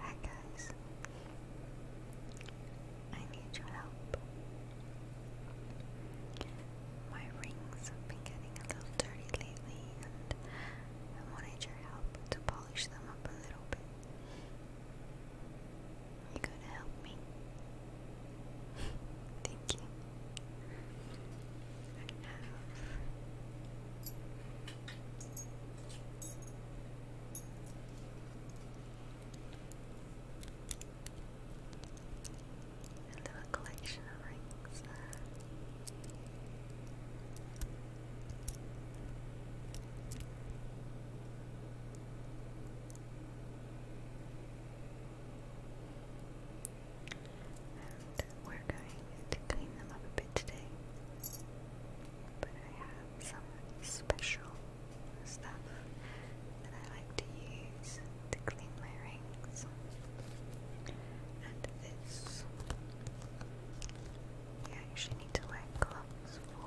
Hi guys, I need your help. My rings have been getting a little dirty lately and I wanted your help to polish them up a little bit. You gonna help me? Thank you. I have a little collection of rings we're going to clean them up a bit today. But I have some special stuff that I like to use to clean my rings. And this, you actually need to wear gloves for.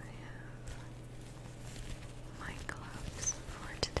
I have my gloves for today.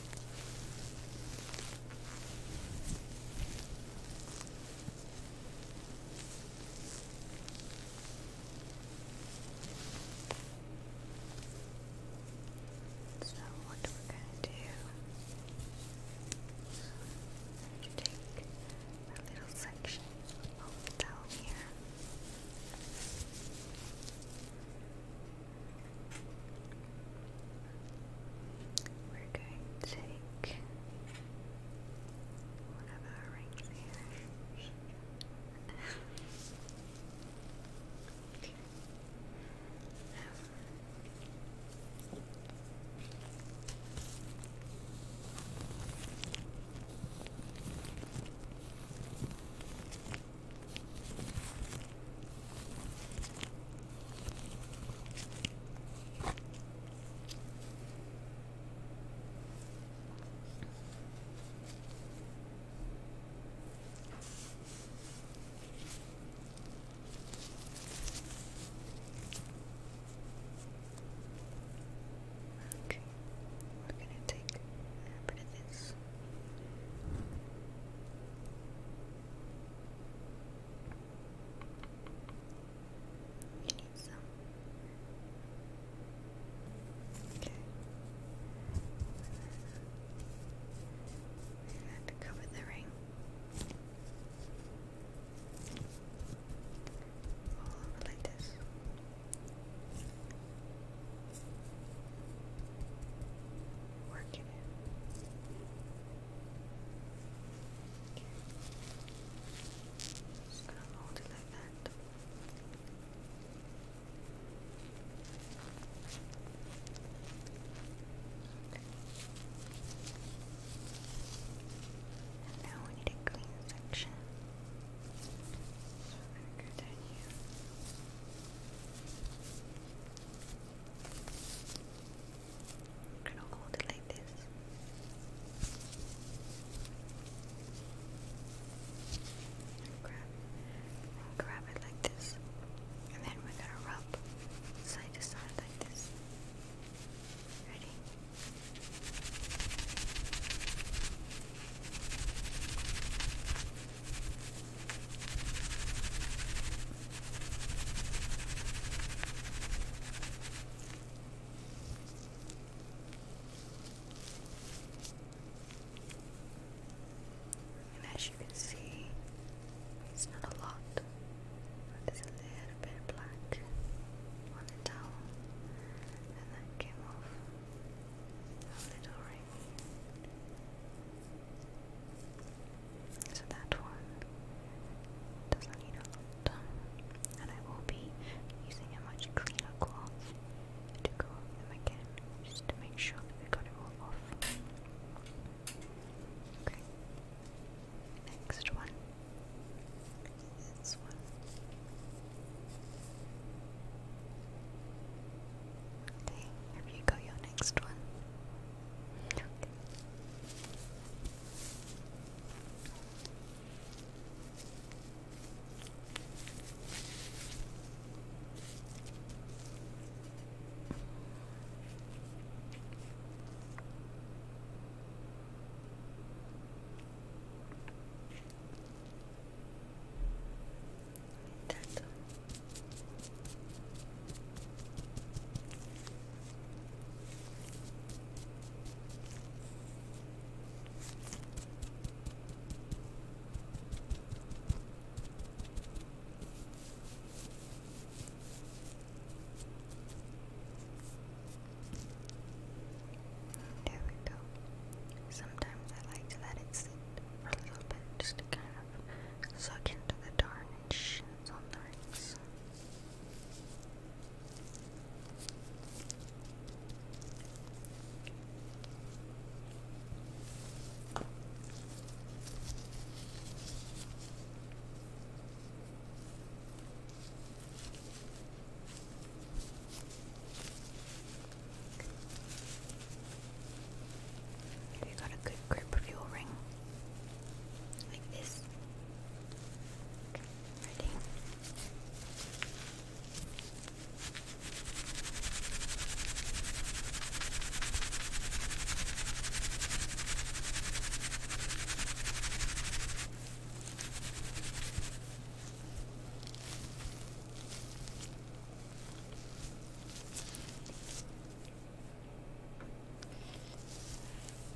So what we're going to do is take a little section of here. We're going to take one rings here. Okay, we're gonna take a bit of this this. You Okay. cover the ring. All over Working it. Just gonna mold it like that. And now we need a clean section. So I'm gonna go I'm gonna hold it like this. grab, grab it like this, and then we're gonna rub side to side like this. Ready? And as you can see, it's not a lot, but a little bit black on the towel, and that came off a little so that one doesn't need a lot. And I will be using a much cleaner cloth to go again, just to make sure we got it all off. Okay. Next one. This one. Okay, here you go, your next one. That's all. There we go. Sometimes I like to let it a little bit just to kind of suck into the tarnish on the rings. Have you got a good grip of your ring? Like this. Ready?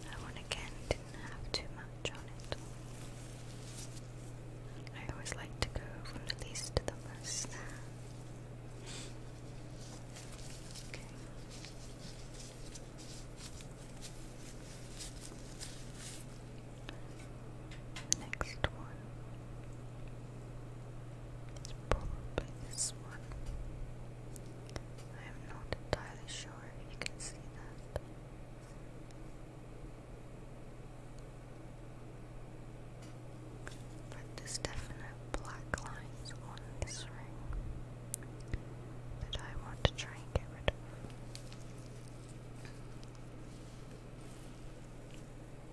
That one again didn't have too much on it. I always like to go from the least to the most. okay next one is probably this one. I'm not entirely sure if you can see that. But there's definite black lines on this ring that I want to try and get rid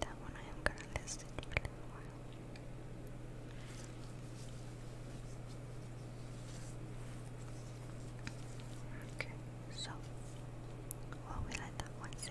That one I am going to list it for a little while. Okay, so while we let that one sit,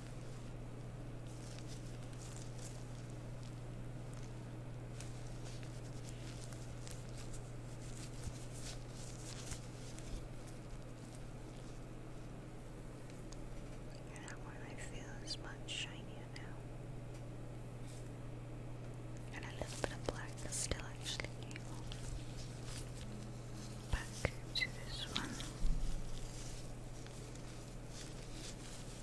And that one I feel is much shinier now. And a little bit of black is still actually evil. Back to this one.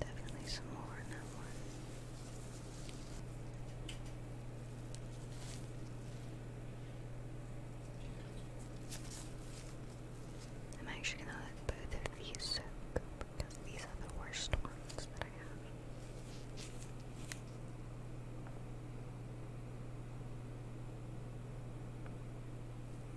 Definitely some more in that one. I'm actually gonna let both of these soak because these are the worst ones that I have.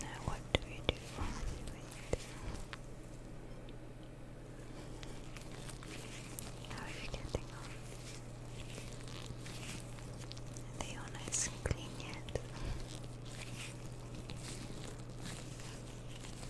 Now, what do we do? How are you getting on? Are they clean yet?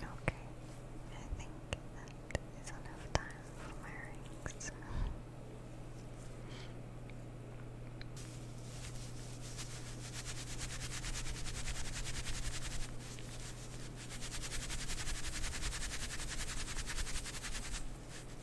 Okay, I think that is enough time for my rings.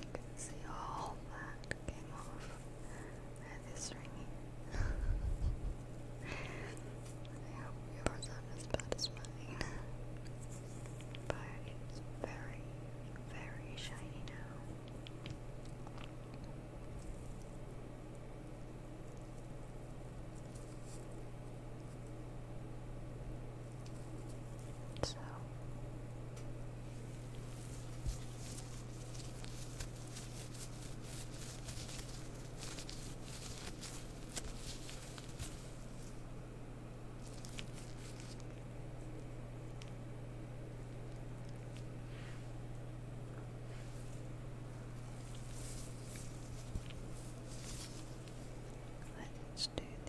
You can see all that came off at this ringing. I hope yours aren't as bad as mine. But it's very, very shiny now. So let's do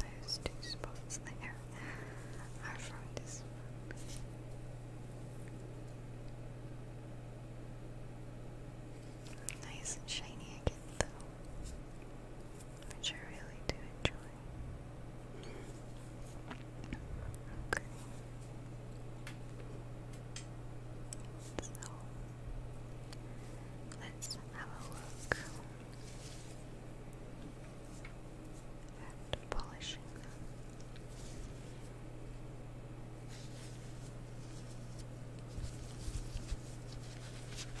And those two spots there are from this Nice and shiny again, though, which I really do enjoy. Okay. So, Let's have a look at polishing them. Okay.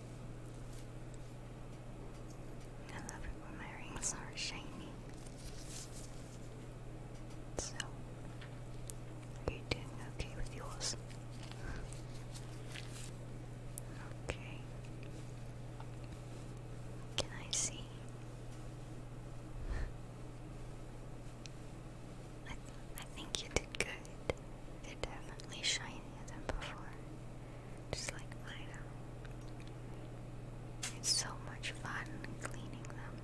I love it when my rings are shiny. So, are you doing okay with yours? Okay. Can I see? I, I think you did good. They're definitely shinier than before. Just like mine are. It's so much fun cleaning them.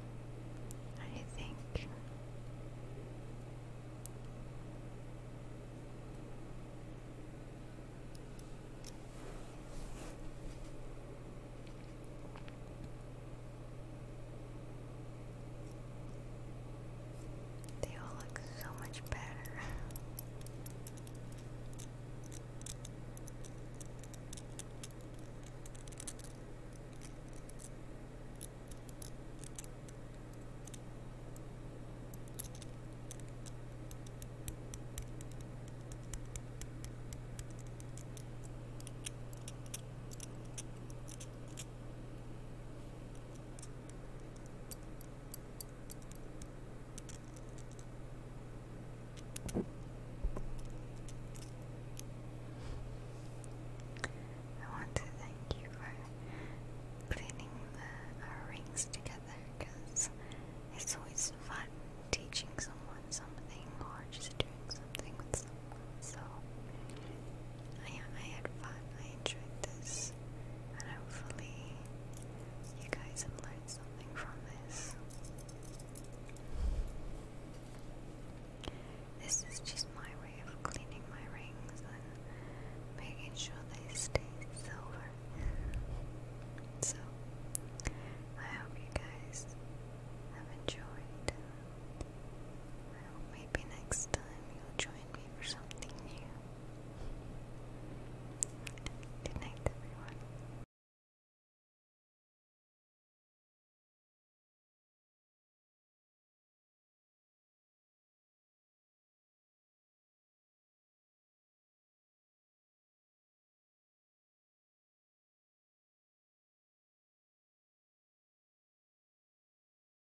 I think. They all look so much better. I want to thank you for cleaning the, rings together because it's always fun teaching someone something or just doing something with someone. So, I, I had fun. I enjoyed this this, and hopefully, you guys have learned something from this. This is just my way of cleaning my rings and making sure they stay silver. so, I hope you guys have enjoyed. maybe next time you'll join me for something new. Good night, everyone.